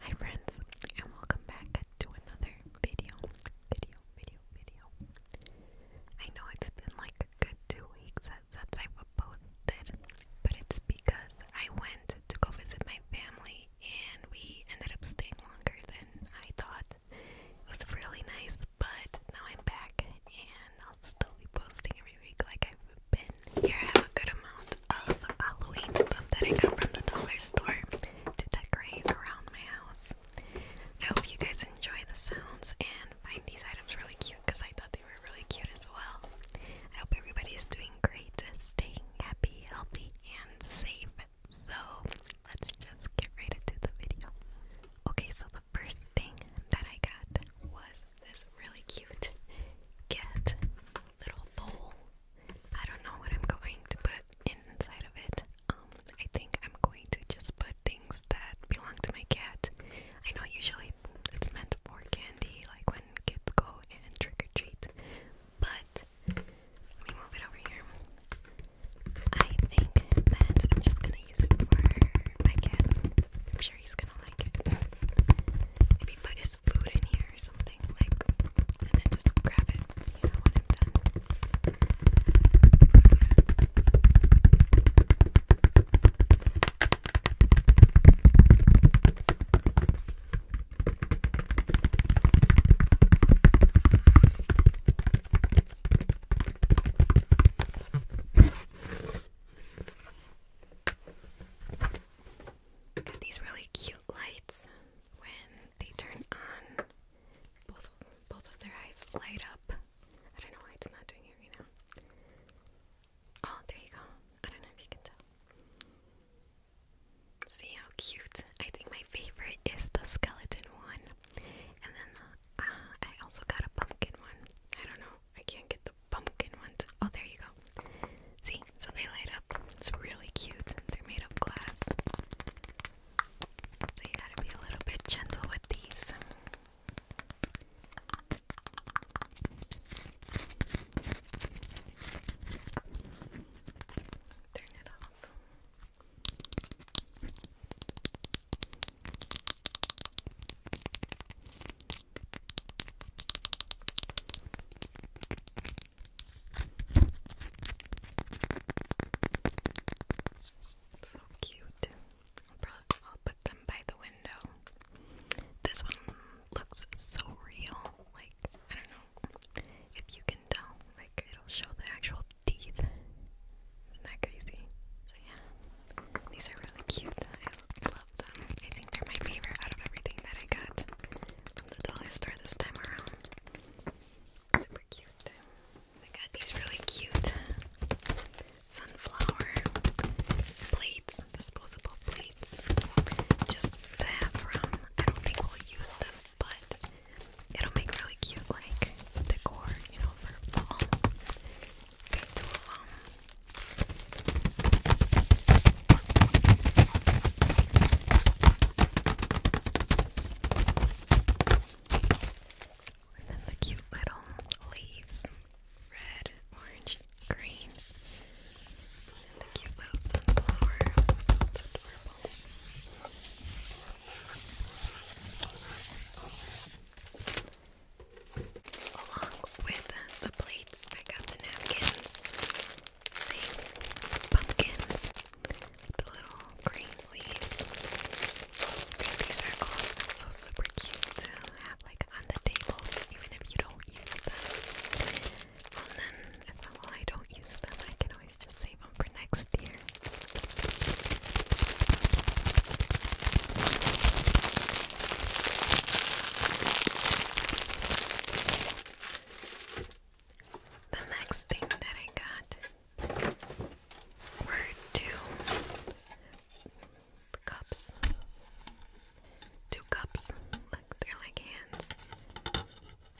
Hi friends, and welcome back to another video, video, video, video. I know it's been like a good two weeks since I've posted, but it's because I went to go visit my family and we ended up staying longer than I thought. It was really nice, but now I'm back and I'll still be posting every week like I've been. Here I have a good amount of Halloween stuff that I got from the dollar store to decorate around my house. I hope you guys enjoy the sounds and find these items really cute because I thought they were really cute as well. I hope everybody is doing great, staying happy, healthy, and safe. So let's just get right into the video. Okay, so the first thing that I got was this really cute cat little bowl I don't know what I'm going to put inside of it. Um, I think I'm going to just put things that belong to my cat. I know usually it's meant for candy, like when kids go and trick or treat, but let me move it over here. I think that I'm just gonna use it for my cat. I'm sure he's gonna like it. Maybe put his there's food in here or something, like, and then just grab it, you know, when I'm got these really cute lights. When they turn on, both both of their eyes light up. I don't know why it's not doing it right now. Oh, there you go. I don't know if you can tell. See how cute? I think my favorite is the skeleton one, and then the, ah, I also got a pumpkin one. I don't know. I can't get the pumpkin one. Oh, there you go. See, so they light up. It's really cute. They're made of glass. you gotta be a little bit gentle with these. Turn it off. So cute. I'll, put them by the window. This one looks so real. Like, I don't know if you can tell. Like, it'll show the actual teeth. Isn't that crazy? So, yeah. These are really cute. I love them. I think they're my favorite out of everything that I got the dollar store this time around. Super cute. I got these really cute sunflower plates, disposable plates, just to have around. I don't think we'll use them, but it'll make really cute like decor, you know, for fall. Got two of um, and then the cute little leaves red, orange, green. And the cute little sunflower. Along with the plates, I got the napkins. See? Pumpkins. The little green leaves. these are all super cute to have like on the table even if you don't use them. And then if I don't use them, I can always just save them for next year. The next thing that I got were two cups. Two cups. Look, they're like hands.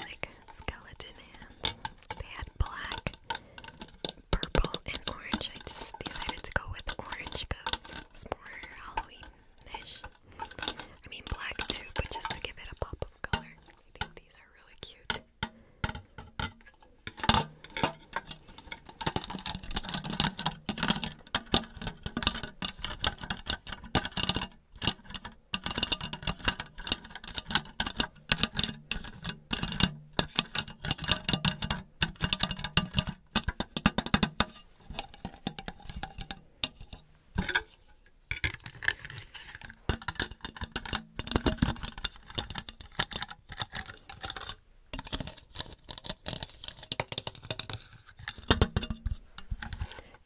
Like skeleton hands. They had black, purple, and orange. I just decided to go with orange because it's more Halloweenish. I mean black too, but just to give it a pop of color. I think these are really cute.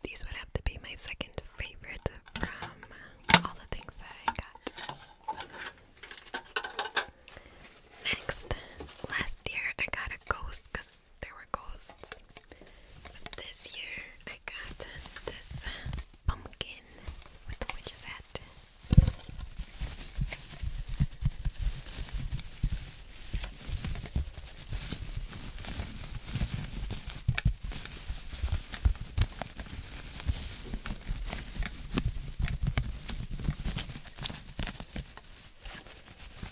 These would have to be my second favorite from all the things that I got. Next, last year I got a ghost cassette there were ghosts. But this year I got this uh, pumpkin with the witch's hat.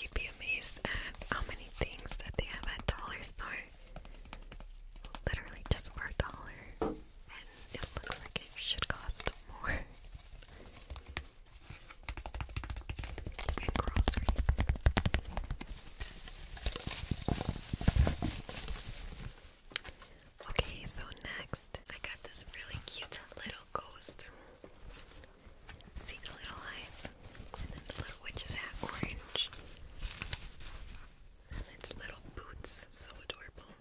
You'd be amazed at how many things that they have at Dollar Store. Literally just for a dollar. And it looks like it should cost more. and groceries. Okay, so next I got this really cute little ghost. See the little eyes? And then the little witch's hat orange. And its little boots, so adorable.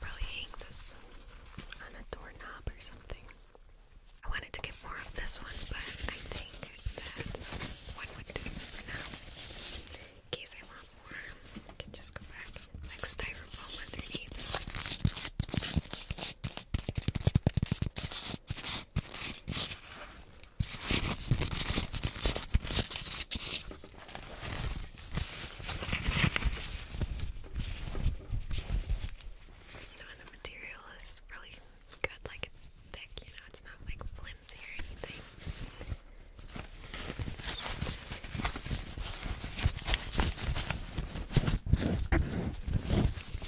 Probably hang this on a doorknob or something. I wanted to get more of this one, but I think that one would do for now. In case I want more, I can just go back and like styrofoam underneath. You know, and the material is really good, like it's thick, you know, it's not like flimsy or anything.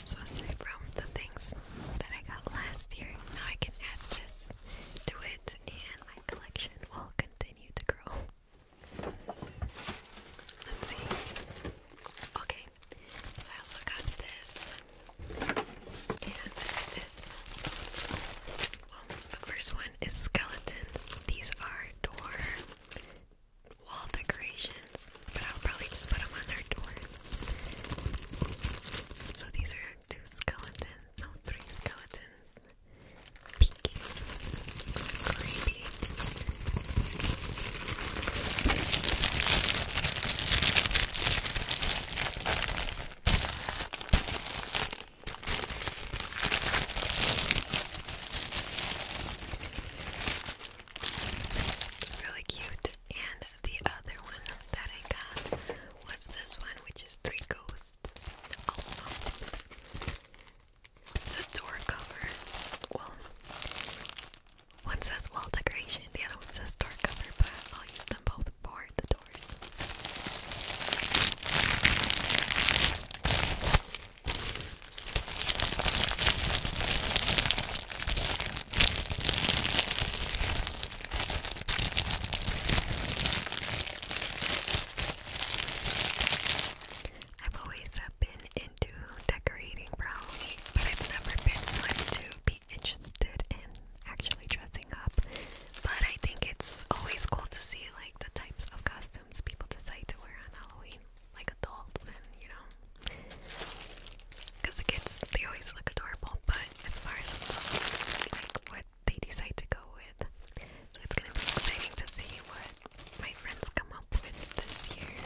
So aside from the things that I got last year, now I can add this to it and my collection will continue to grow. Let's see. Okay, so I also got this and this, well, the first one is skeletons. These are door wall decorations, but I'll probably just put them on their doors. So these are two skeletons, no, three skeletons. Peeking. It's creepy. It's really cute. And the other one that I got was this one, which is Three Ghosts. Also, it's a door cover. Well, one says wall decoration, the other one says door cover, but I'll use them both for the door doors. I've always been into decorating, probably, but I've never been one be interested in actually dressing up. But I think it's always cool to see like the types of costumes people decide to wear on Halloween, like adults and you know. Because the kids, they always look adorable, but as far as adults, like what they decide to go with. So it's gonna be exciting to see what my friends come up with this year.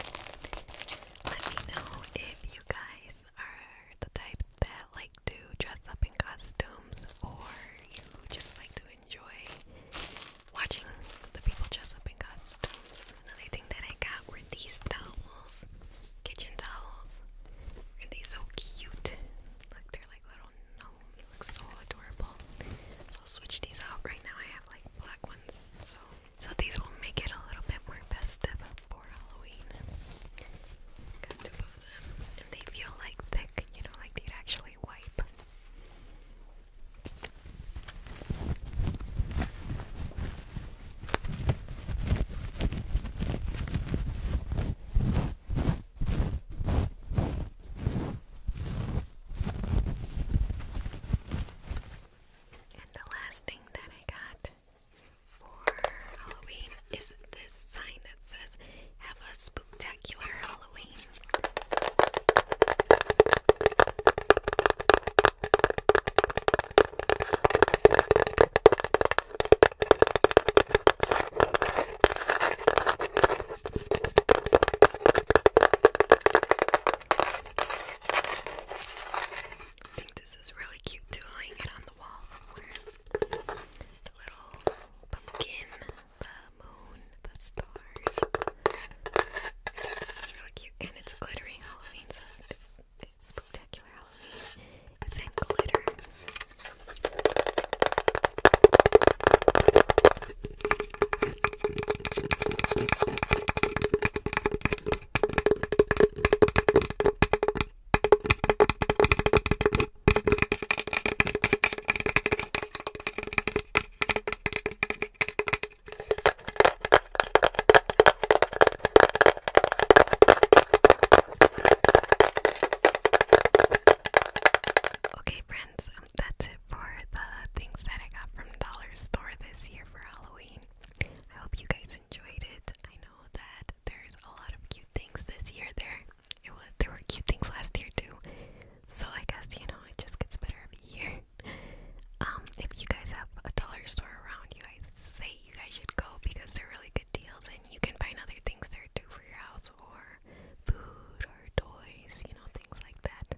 Let me know if you guys guys are the type that like to dress up in costumes or you just like to enjoy watching the people dress up in costumes, another thing that I got were these towels, kitchen towels. Are they so cute? Look, they're like little gnomes, so adorable. I'll switch these out right now. I have like black ones, so so these will make it a little bit more festive for Halloween and they feel like thick, you know, like they'd actually wipe. And the last thing that I got for Halloween is this sign that says, Have a spooktacular Halloween. I think this is really cute too. I'll hang on the wall the little pumpkin, the moon, the stars. This is really cute, and it's glittering Halloween, it's spectacular Halloween. It's in glitter. Okay, friends, that's it for the things that I got from Dollar Store this year for Halloween. I hope you guys enjoyed it. I know that there's a lot of cute things this year there. It was there were cute things last year too. So I guess, you know, it just gets better every year. Um, if you guys have a dollar store around you, I say you guys should go because they're really good deals and you can find other things there too for your house or food or toys, you know, things like that.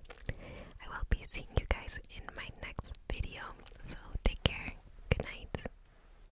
I will be seeing you guys in my next video. So take care. Good night.